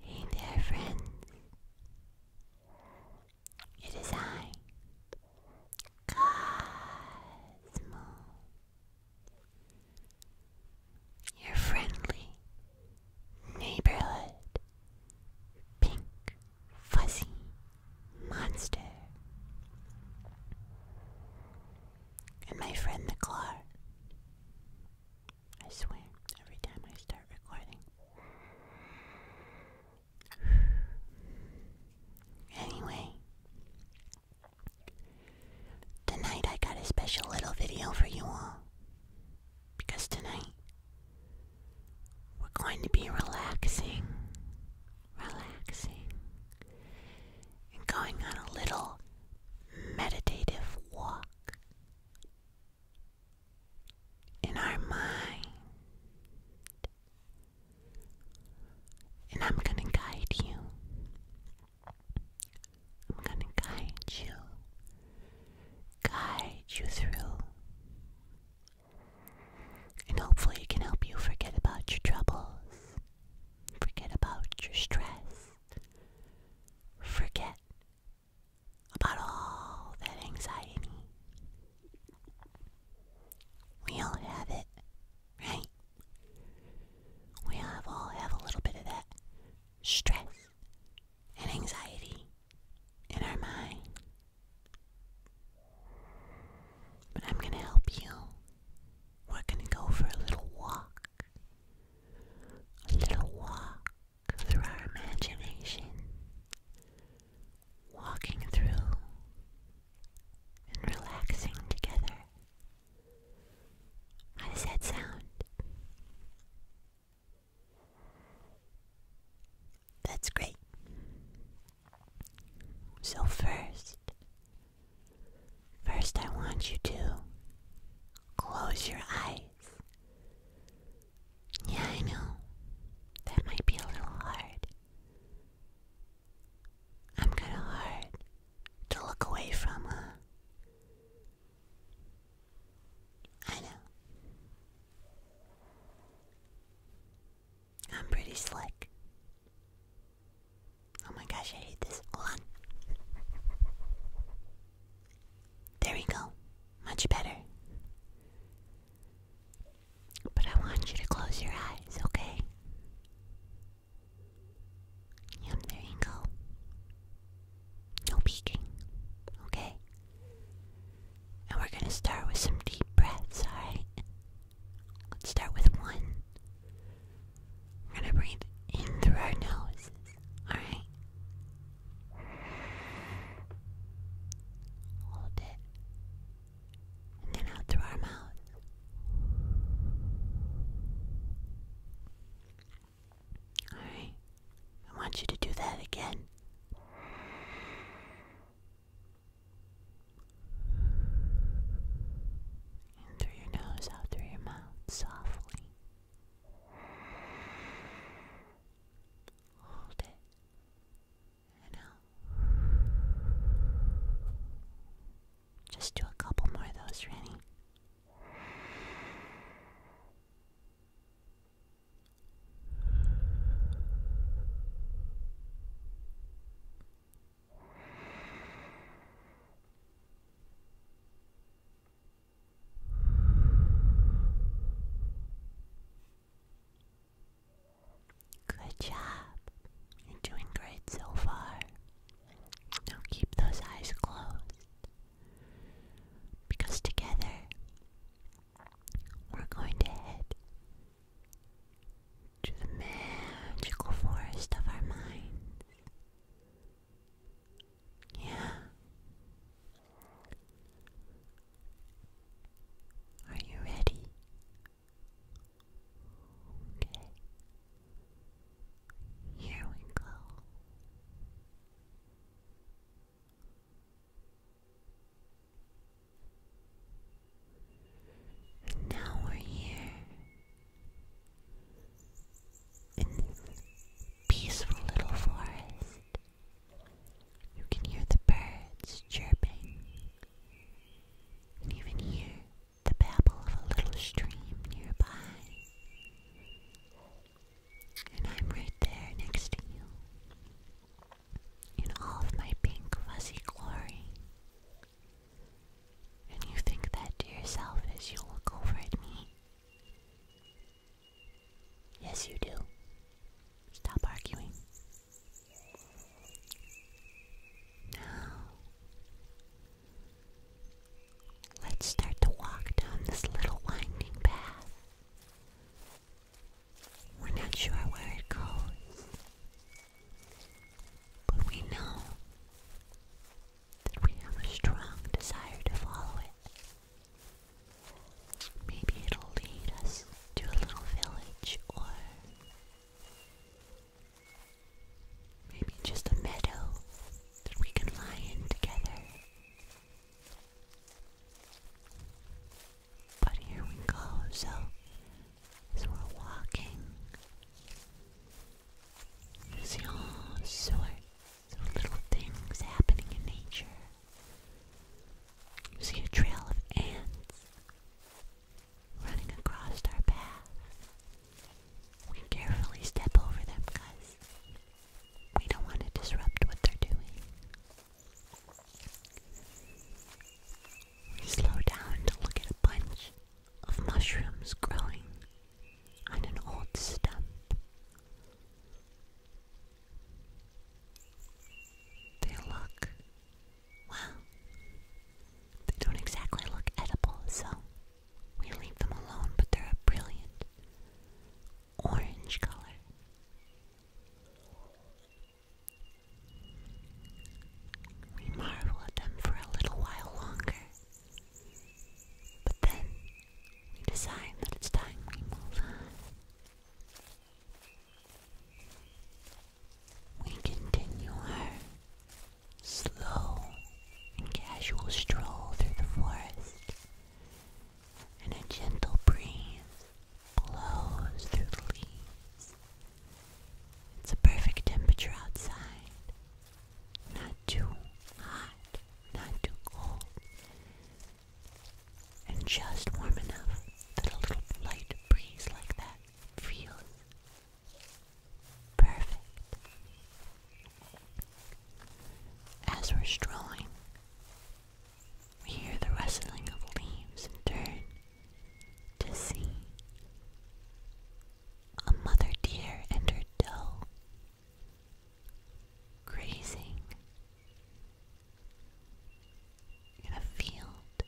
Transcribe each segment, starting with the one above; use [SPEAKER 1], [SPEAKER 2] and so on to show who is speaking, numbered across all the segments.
[SPEAKER 1] Hey there, friends. It is I, Cosmo, your friendly neighborhood pink fuzzy monster. And my friend the claw. I swear, every time I start recording. Anyway, tonight I got a special little video for you all. Because tonight we're going to be relaxing, relaxing, and going on a little meditative walk. In our mind, and I'm going to guide you. I'm going to guide you, guide you through and hopefully, it can help you forget about your troubles, forget about your stress, forget about all that anxiety. We all have it, right? We have all have a little bit of that stress and anxiety in our mind. But I'm going to help you. We're going to go for a little walk. A little walk through our imagination. Walking through and relaxing together. How does sound? That's great. So, first, first, I want you to close your eyes. Yeah, I know. That might be a little hard. I'm kind of hard to look away from, huh? I know. I'm pretty slick. Oh my gosh, I hate this. Hold on. There we go. Much better. But I want you to close your eyes, okay? there you go. No peeking, okay? And we're going to start with some deep breaths, alright? Let's start with one. We're going to breathe in through our nose. alright? Hold it. And then out through our mouth. Alright. I want you to do that again. In through your nose, out through your mouth, softly. Hold it. And out. Just do a couple more of those, Rennie. Good job. You're doing great so far. Now keep those eyes closed. Because together we're going to head to the magical forest of our minds. Yeah. Are you ready? Okay. Here we go. And now we're here in this peaceful little forest. You can hear the birds chirping, and even hear the babble of a little stream nearby. And I'm right there next to you in all of my pink fuzzy glory. And you think that to yourself as you look over at me. Yes, you do. Stop arguing. Now, let's start to walk down this little winding path. We're not sure where it goes, but we know that we have a strong desire to follow it. Maybe it'll lead us to a little village or maybe just a meadow that we can lie in together but here we go, so as we're walking, you see all sorts of little things happening in nature. see a trail of ants running across our path. We carefully step over them because we don't want to disrupt what they're doing. We slow down to look at a bunch of mushrooms growing on an old stump. They look, well, they don't exactly look edible, so we leave them alone, but they're a brilliant orange color. We marvel at them for a little while longer, but then we decide that it's time we move on. We continue our slow and casual stroll through the forest and a gentle breeze blows through the leaves. It's a perfect temperature outside. Not too hot, not too cold. And just warm enough that a little light breeze like that feels perfect. As we're strolling we hear the rustling of leaves and dirt. to see a mother deer and her doe grazing in a field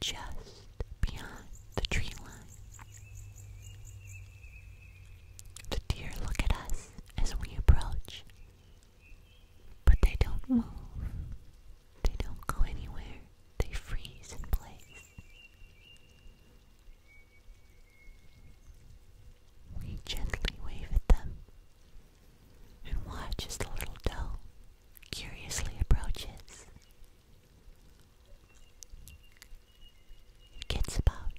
[SPEAKER 1] just beyond the tree line. The deer look at us as we approach but they don't move. They don't go anywhere. They freeze in place. We gently wave at them and watch as the little doe curiously approaches. It gets about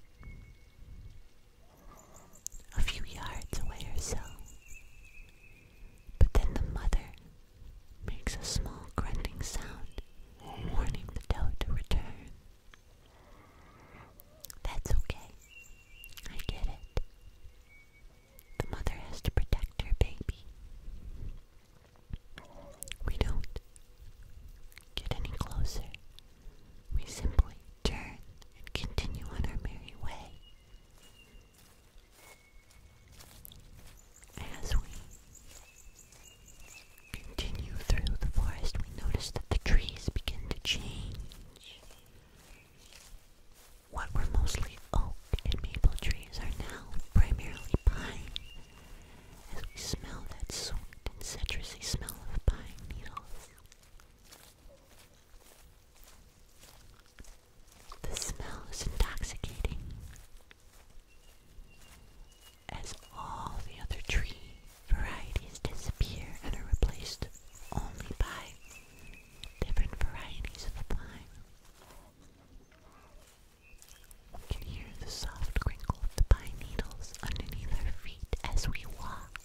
[SPEAKER 1] a few yards away or so. But then the mother makes a small grunting sound, warning the doe to return. That's okay. I get it. The mother has to protect her baby. We don't get any closer we simply turn and continue on our merry way. As we continue through the forest, we notice that the trees begin to change. What were mostly oak and maple trees are now primarily pine. As we smell that sweet and citrusy smell of pine needles, the smell is intoxicating, as all the other tree varieties disappear and are replaced only by different varieties of pine. We can hear the soft crinkle of the pine needles underneath our feet as we walk.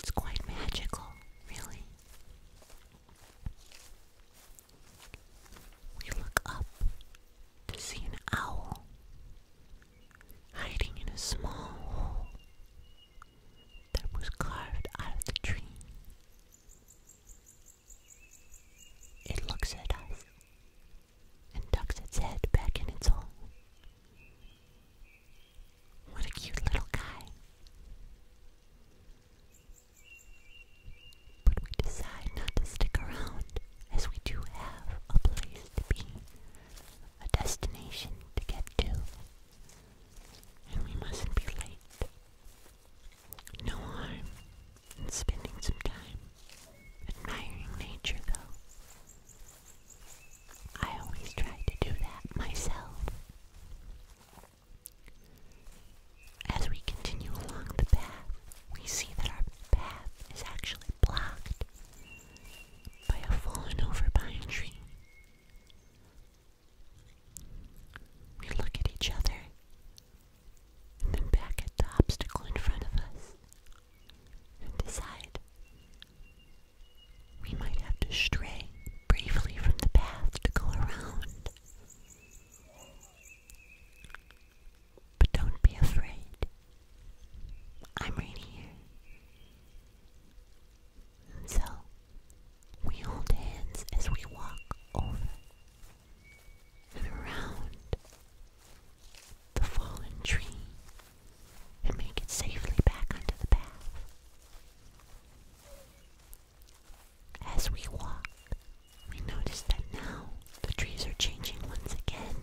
[SPEAKER 1] It's quite magical, really. We look up to see an owl hiding in a small hole that was carved out of the tree. It looks at us and ducks its head back in its hole. What a cute little guy. But we decide not to stick around as we do have a place to be, a destination to get to, and we mustn't be late. No harm in spending some time Admiring nature, though. I always try to do that myself. As we continue along the path, we see that our path is actually blocked by a fallen over pine tree. We look at each other and then back at the obstacle in front of us, and decide. We might have to stray briefly from the path to go around. But don't be afraid. I'm right here. so, we hold hands as we walk over and around the fallen tree and make it safely back onto the path. As we walk, we notice that now the trees are changing once again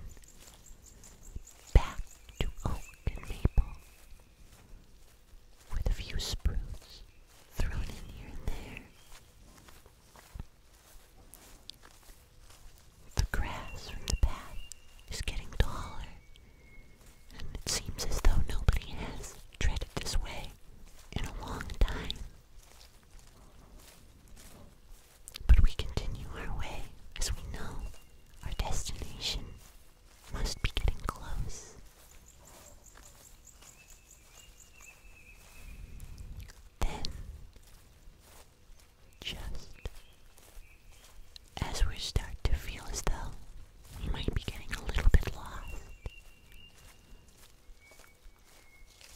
[SPEAKER 1] back to oak and maple with a few spruce thrown in here and there. The grass from the path is getting taller, and it seems as though nobody has treaded this way in a long time. But we continue our way as we know our destination must be getting close. Then just as we start to feel as though we might be getting a little bit lost,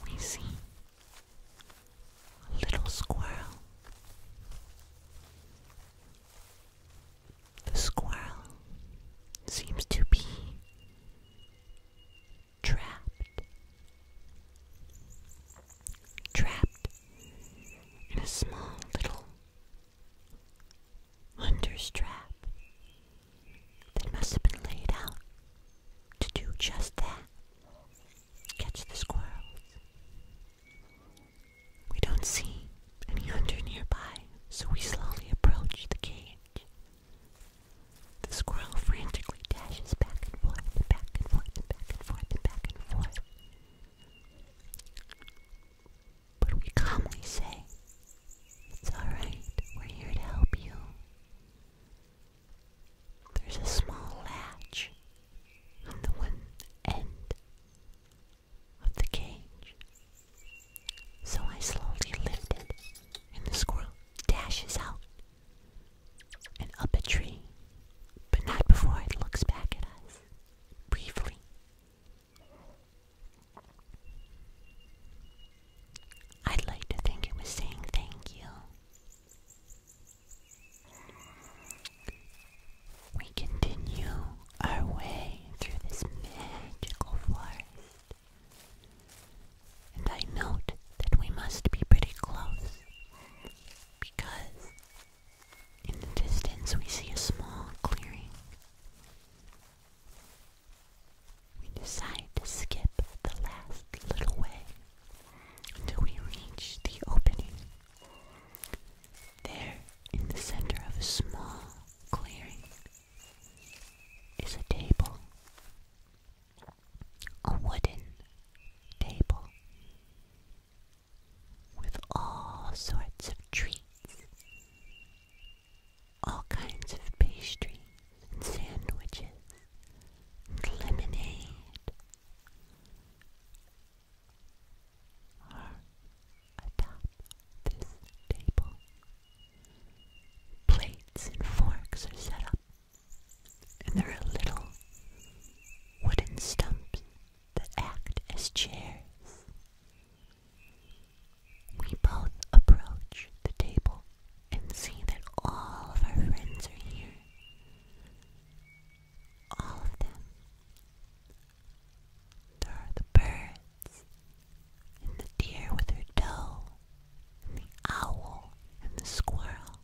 [SPEAKER 1] we see a little squirrel. The squirrel seems to be trapped trapped in a small little hunter's trap that must have been laid out to do just that catch the squirrels. We don't see any hunter nearby, so we slowly approach the cage. The squirrel frantically quickly dashes back and forth, back and forth, and back and forth, and back and forth. But we calmly say, It's alright, we're here to help you. There's a small latch on the one end of the cage. So I slowly lift it, and the squirrel dashes out and up a tree, but not before it looks back at us briefly. I'd like to think it was saying thank you. We continue our way through this magical forest and I note that we must be pretty close because in the distance we see a small clearing. We decide to skip the last little way until we reach the opening. There, in the center of a small clearing, is a table a wooden table with all sorts of treats, all kinds of pastries and sandwiches lemonade. Or atop this table, plates and forks are set up and there are little wooden stumps that act as chairs. We both approach the table and see that all of our friends are here. All of them. There are the birds and the deer with her doe and the owl, and the squirrel,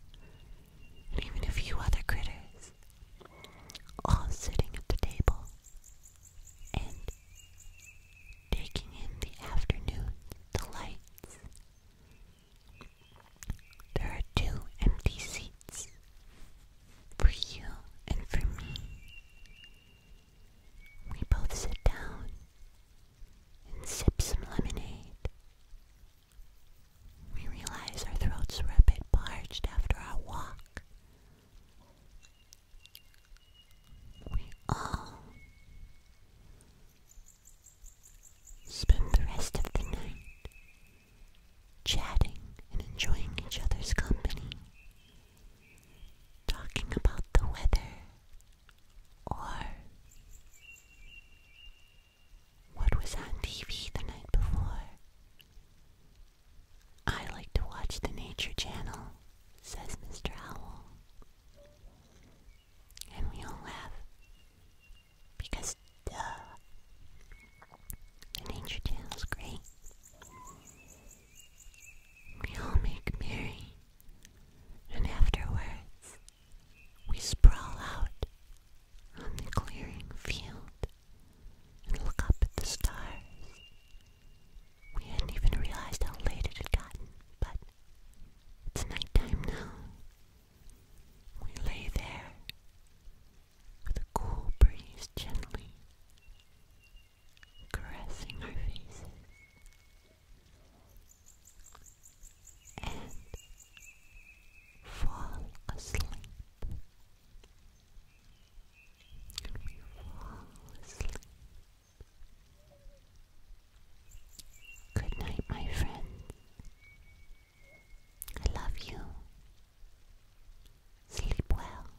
[SPEAKER 1] and even a few other critters, all sitting at the table and taking in the afternoon, the lights. There are two empty seats for you and for me. We both sit down and sip some lemonade we realize our throats are a bit parched after our walk. We all spend the rest of the night chatting and enjoying each other's company, talking about the weather or what was on TV the night before? I like to watch the Nature Channel, says Mr. Howell. And we all laugh. Because, duh, the Nature Channel's great. We all make merry, and afterwards, we sprawl out on the clearing field and look up at the stars. We hadn't even realized how late it had gotten, but it's nighttime now. We lay there with a cool breeze gently caressing our faces and fall asleep. fall asleep. Good night, my friends. I love you. Sleep well.